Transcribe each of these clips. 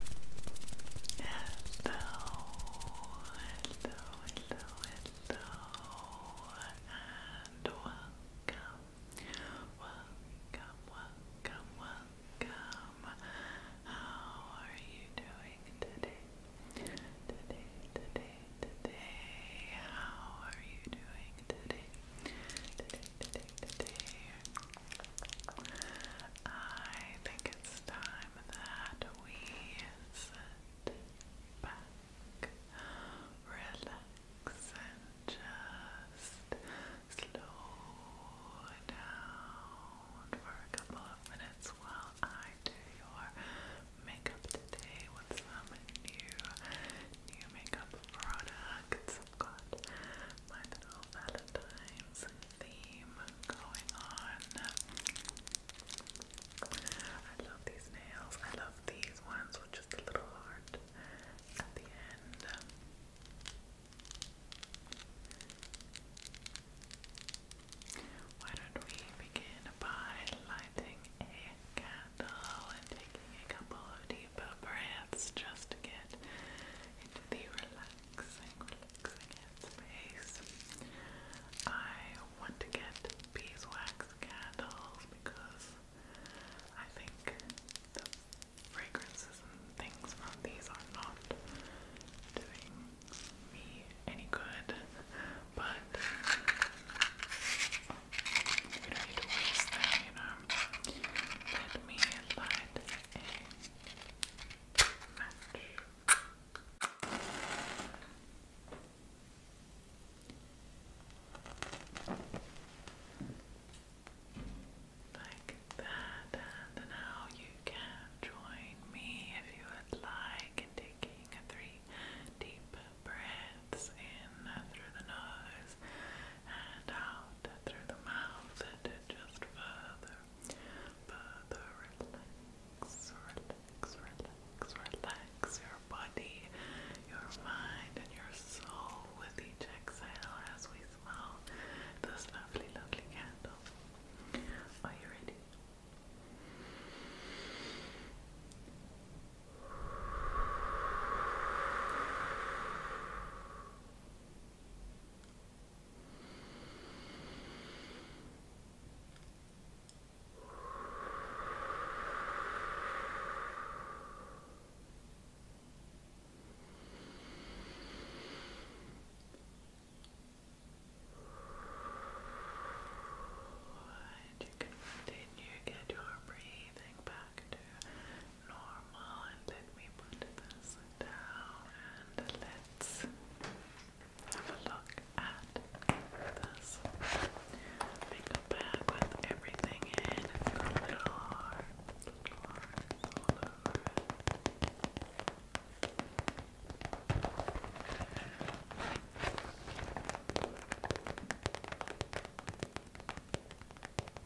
hello, hello, and welcome, welcome, welcome, welcome. How are you doing today? Today, today, today. How are you doing today? Today, today, today. I think it's time that we sit back, relax, and just slow down for a couple of minutes while I do your makeup today with some new new makeup products i got my little Valentine's theme going on. I love these nails. I love these ones with just a little heart at the end. Why don't we begin by lighting a candle and taking a couple of deep breaths just to get into the relaxed relaxing, I want to get beeswax candles because I think the fragrances and things from these are not doing me any good, but we don't need to waste them, you know. Let me light a Like that, and now you can join me if you would like in taking three deep breaths in through the nose and out through the mouth and just further, further relax, relax, relax, relax your body, your mind, and your soul with each exhale as we smell this lovely, lovely candle. Are you ready? And you continue, get your breathing back to normal and let me put this down and let's have a look at this makeup bag with everything in it's got a little heart, little heart all over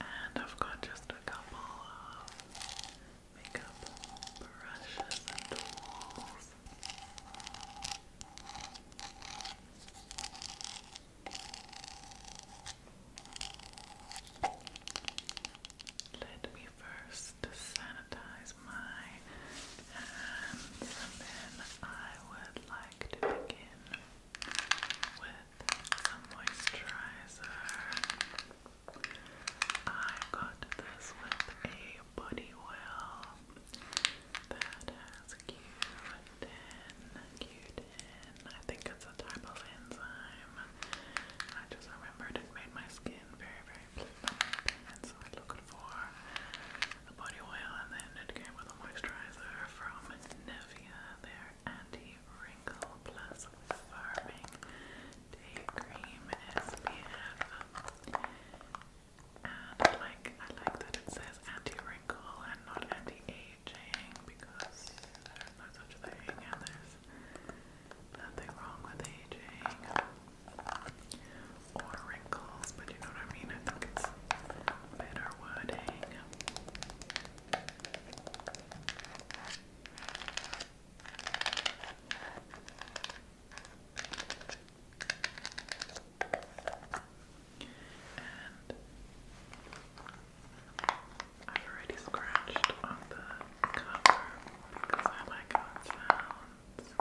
And I've got just a couple of makeup brushes and tools. Let me first sanitize my hands and then I would like to begin with some moisturizer. I got this with a body oil that has Q10, I think it's a type of enzyme. I just remembered it made my skin very, very blue, and so I looked for a body oil, and then it came with a moisturizer from Nevia. Their anti-wrinkle plus farming day cream SPF. And like I like that it says anti-wrinkle and not anti-aging because there's no such thing and there's nothing wrong with aging or wrinkles, but you know what I mean? I think it's better wording. And I've already scratched on the cover because I like how sounds.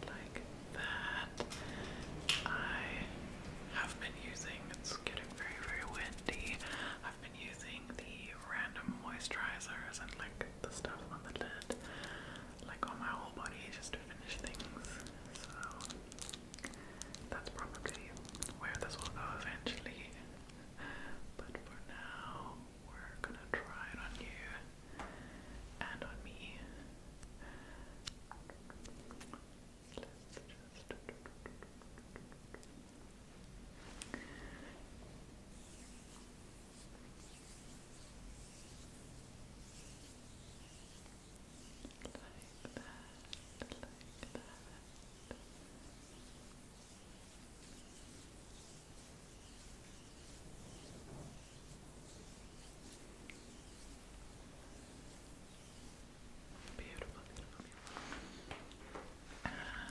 Like that. I have been using, it's getting very, very windy. I've been using the random moisturizers and like the stuff on the lid like on my whole body just to finish things. So that's probably where this will go eventually. But for now, we're gonna try it on you and on me. Like that, like that. Beautiful, beautiful, beautiful. And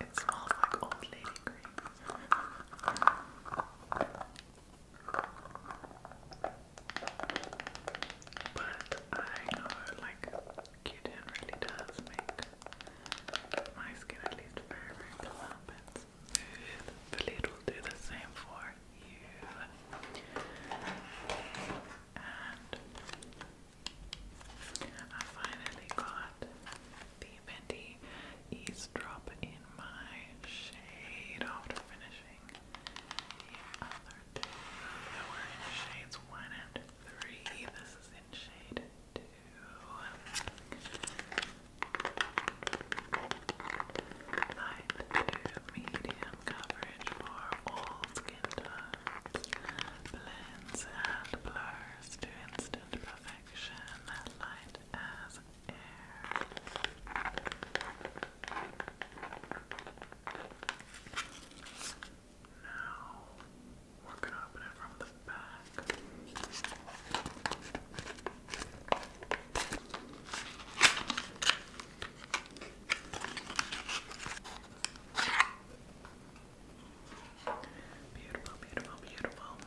it smells like old lady cream. But I know, like, Q-Tin really does make my skin at least very, very plump and smooth. But will do the same for you. I finally got the Fenty Eavesdrop in my shade after finishing the other two that were in shades 1 and 3. This is in shade 2. Light to medium coverage for all blends and blurs to instant perfection, light as air. Now we're going to open it from the back. Beautiful, beautiful, beautiful.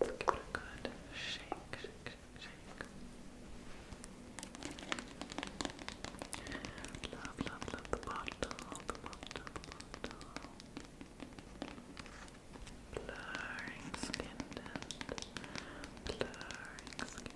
Let's give it a good shake, shake, shake. Love, love, love the bottle, the bottle, the bottle. Blurring skin tint. Blurring skin,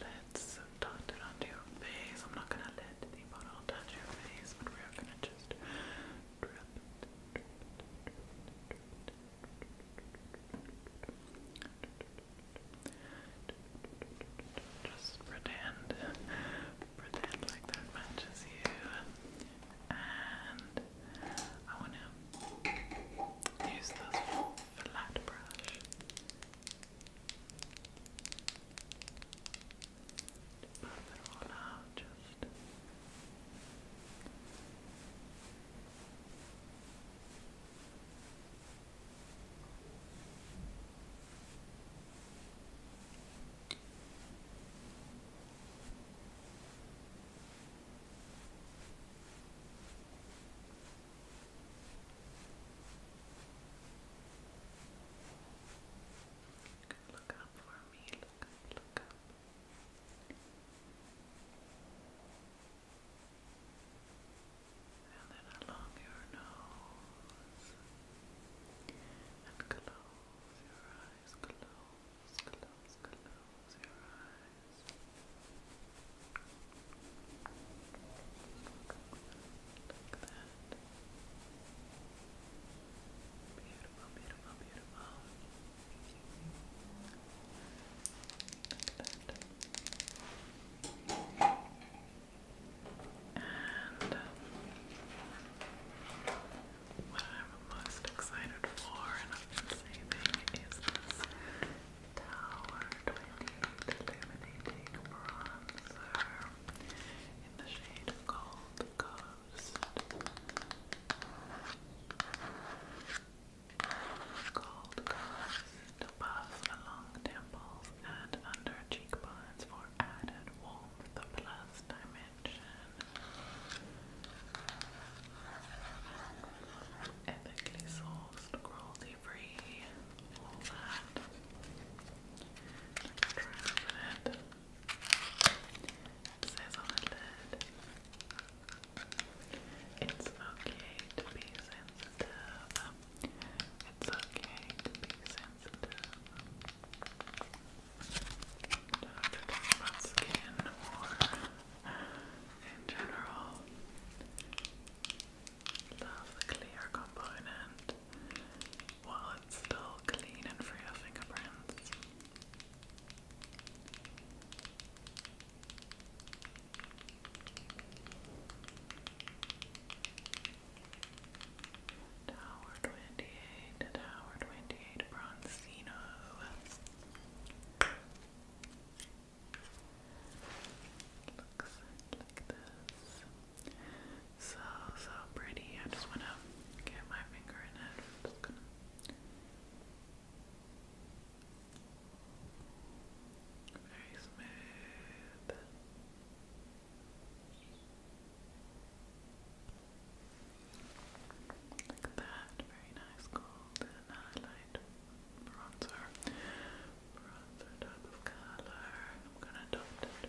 Let's dot it onto your face. I'm not gonna let the bottle touch your face, but we're gonna just just pretend, pretend like that matches you, and I want to use this flat brush. Puff it all out, just Look up for me. Look look up and then along your nose and close your eyes, close, close, close your eyes like that Beautiful, beautiful, And uh, what I'm most excited for and I've been saving is this Tower 28 in the shade Gold Gold Gold cast above, along temples and under cheekbones for added warmth plus dimension. Ethically sourced, cruelty free, all that. Transparent it says on the lid, it's okay to be sensitive. It's okay to be sensitive. Love the clear component while it's still clean and free of fingerprints. Tower 28, Tower 28, Bronzino. Looks like this. So, so pretty. I just want to get my finger in it. Very smooth. Like that. Very nice gold highlight bronzer. Bronzer type of color. I'm gonna dot it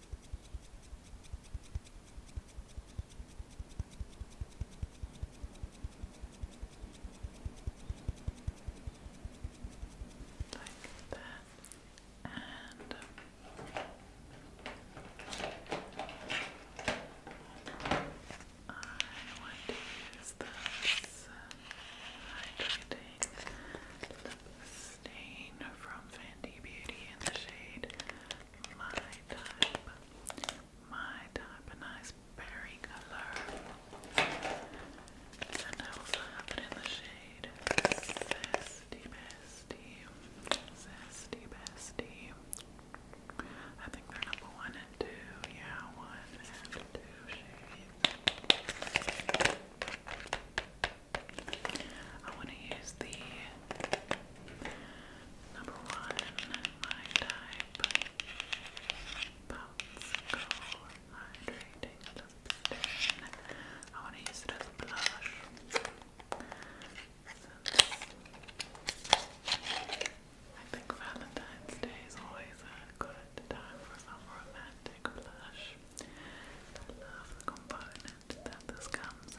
Like that. And I want to use this hydrating stain from Fenty Beauty in the shade my type, my type, a nice berry color. And I also have it in the shade Zesty Bestie, Zesty Bestie. I think they're number one and two, yeah, one and two shades. I want to use the number one my type Pounce Go Hydrating Lipstick. I want to use it as a blush. I think Valentine's Day is always a good time for some romantic blush. I love the component environment that this comes in.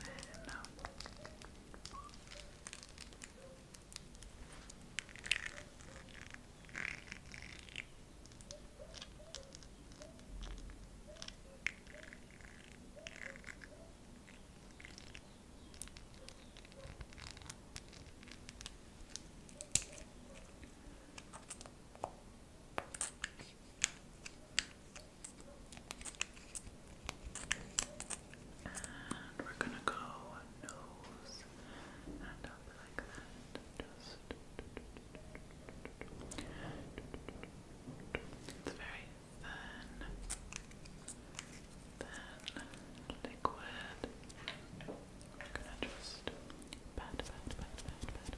And we're gonna go nose and up like that. Just very thin, thin liquid. We're gonna just pat, pat, pat, pat, pat,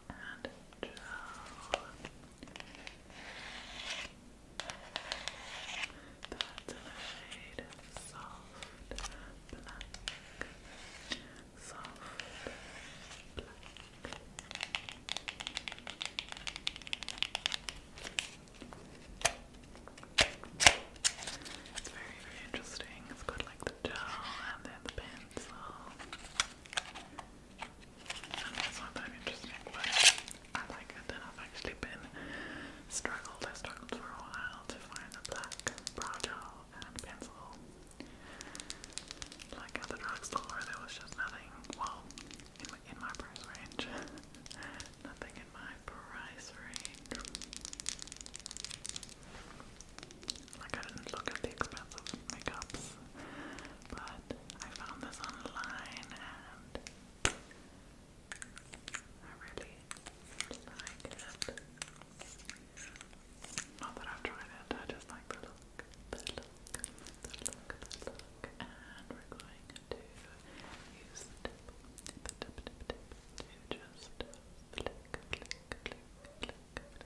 and gel. That's shade soft black. Soft black. It's very, very interesting. It's got like the gel and then the pencil and that's not that interesting, but I like I've actually been struggled, I struggled for a while to find a black brow gel and pencil. Like at the drugstore there was just nothing, well, in my price range. nothing in my price range. Like I didn't look at the expensive makeups but I found this online and I really like it. Not that I've tried it, I just like the look, And we're going to use the tip, tip, tip, tip to just flick, flick, flick, flick,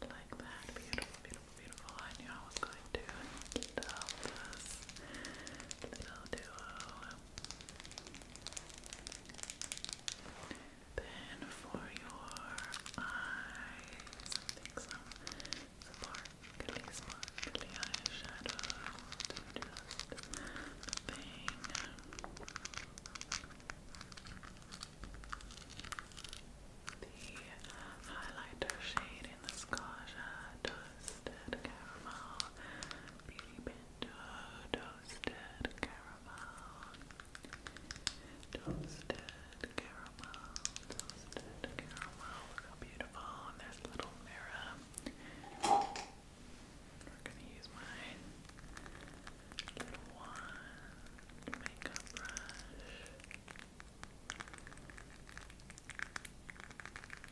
Like that, beautiful, beautiful, beautiful. I knew I was going to keep up this little duo then for your eyes, I sparkly, sparkly eyeshadow will the highlighter shade in the Scotia Toasted Caramel Beauty toasted caramel, toasted caramel, toasted caramel. Look how beautiful! And there's a little mirror. We're gonna use my little wand, makeup brush.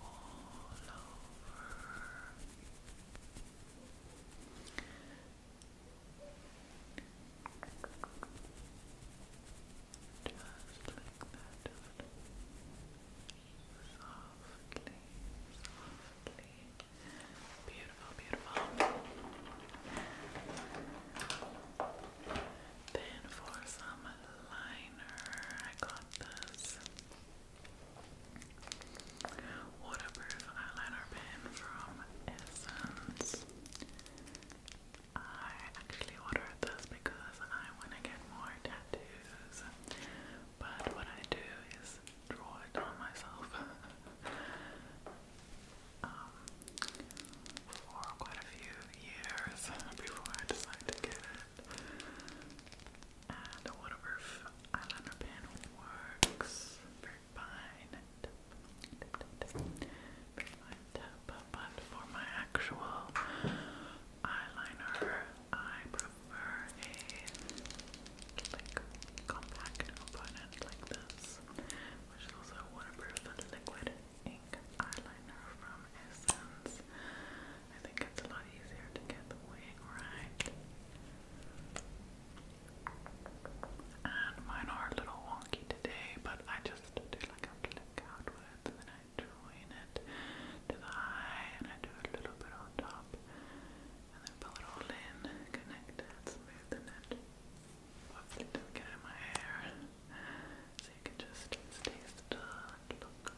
all over. Just like that. Softly, softly. Beautiful, beautiful. Then for some liner, I got this waterproof eyeliner pen from Essence. I actually ordered this because I want to get more tattoos, but what I do is draw it on myself. Um, for quite a few years before I decided to get it. And whatever eyeliner pen works, fine, But for my actual eyeliner, I prefer a like compact opponent like this, which is also waterproof and liquid ink eyeliner from Essence. I think it's a lot easier to get the wing right. And mine are a little wonky today, but I just do like a flick outwards and then I join it to the eye and I do a little bit on top and then pull it all in, connect it, smoothen it. Hopefully it not get in my hair. So you can just stay still and look,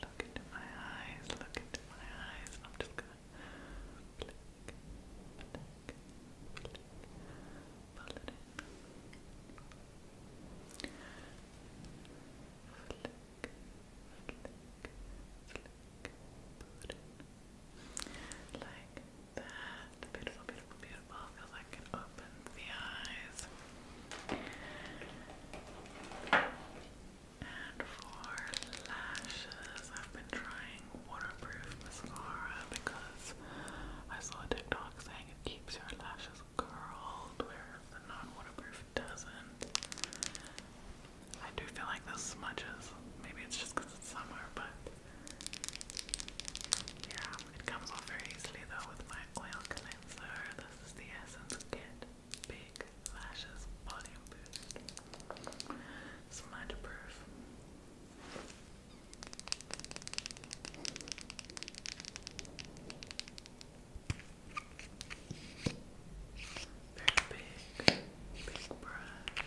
look into my eyes, look into my eyes. I'm just gonna blink, blink, blink, pull it in, flick, flick, flick, put it in. Like that. Beautiful, beautiful, beautiful. Because I can open the eyes. And for lashes, I've been trying waterproof mascara because I saw TikTok saying it keeps your lashes curled, where the non-waterproof doesn't. I do feel like this smudges. Maybe it's just because it's summer, but yeah, it comes off very easily though with my oil cleanser. This is the Essence Kit Big Lashes Volume Boost. Smudge proof. Very big, big brush.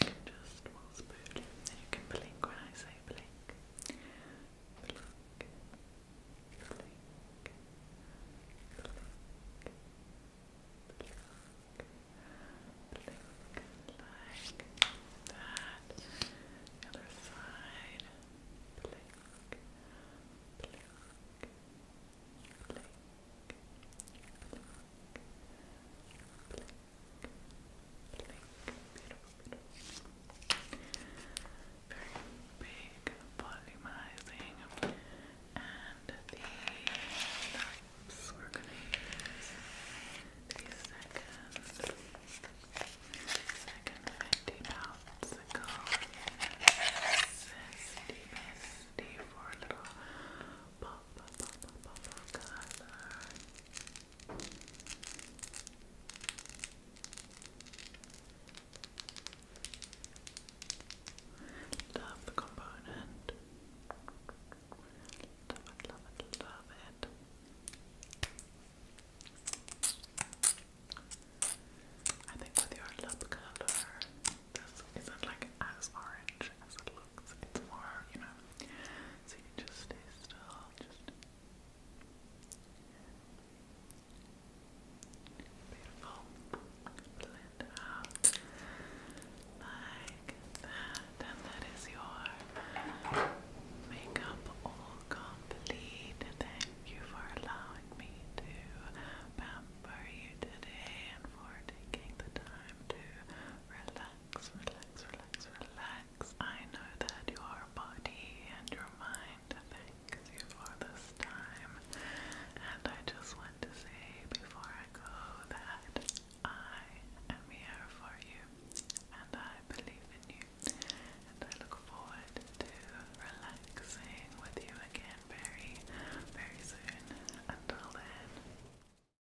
you just, well, spoon, you can blink when I say blink blink, blink, blink, blink, blink. Blink like that. The other side. Blink, blink, blink, blink, blink. Beautiful, beautiful. Very big volumizing. And the lips we're going to use the second, second 50 pounds ago. Zesty, zesty little pop, pop, pop, pop, pop of Love the component. Love it, love it, love it. I think with your lip color, this isn't like as orange as it looks. It's more, you know, so you just stay still, just beautiful. Blend out like that, and that is your makeup all complete. Thank you for allowing me to pamper you today and for taking the time to relax relax, relax, relax, relax. I know that your body and your mind thanks you for this time. And I just want to say before I go that I am here for you and I believe in you. And I look forward to relaxing with you again very, very soon. Until then.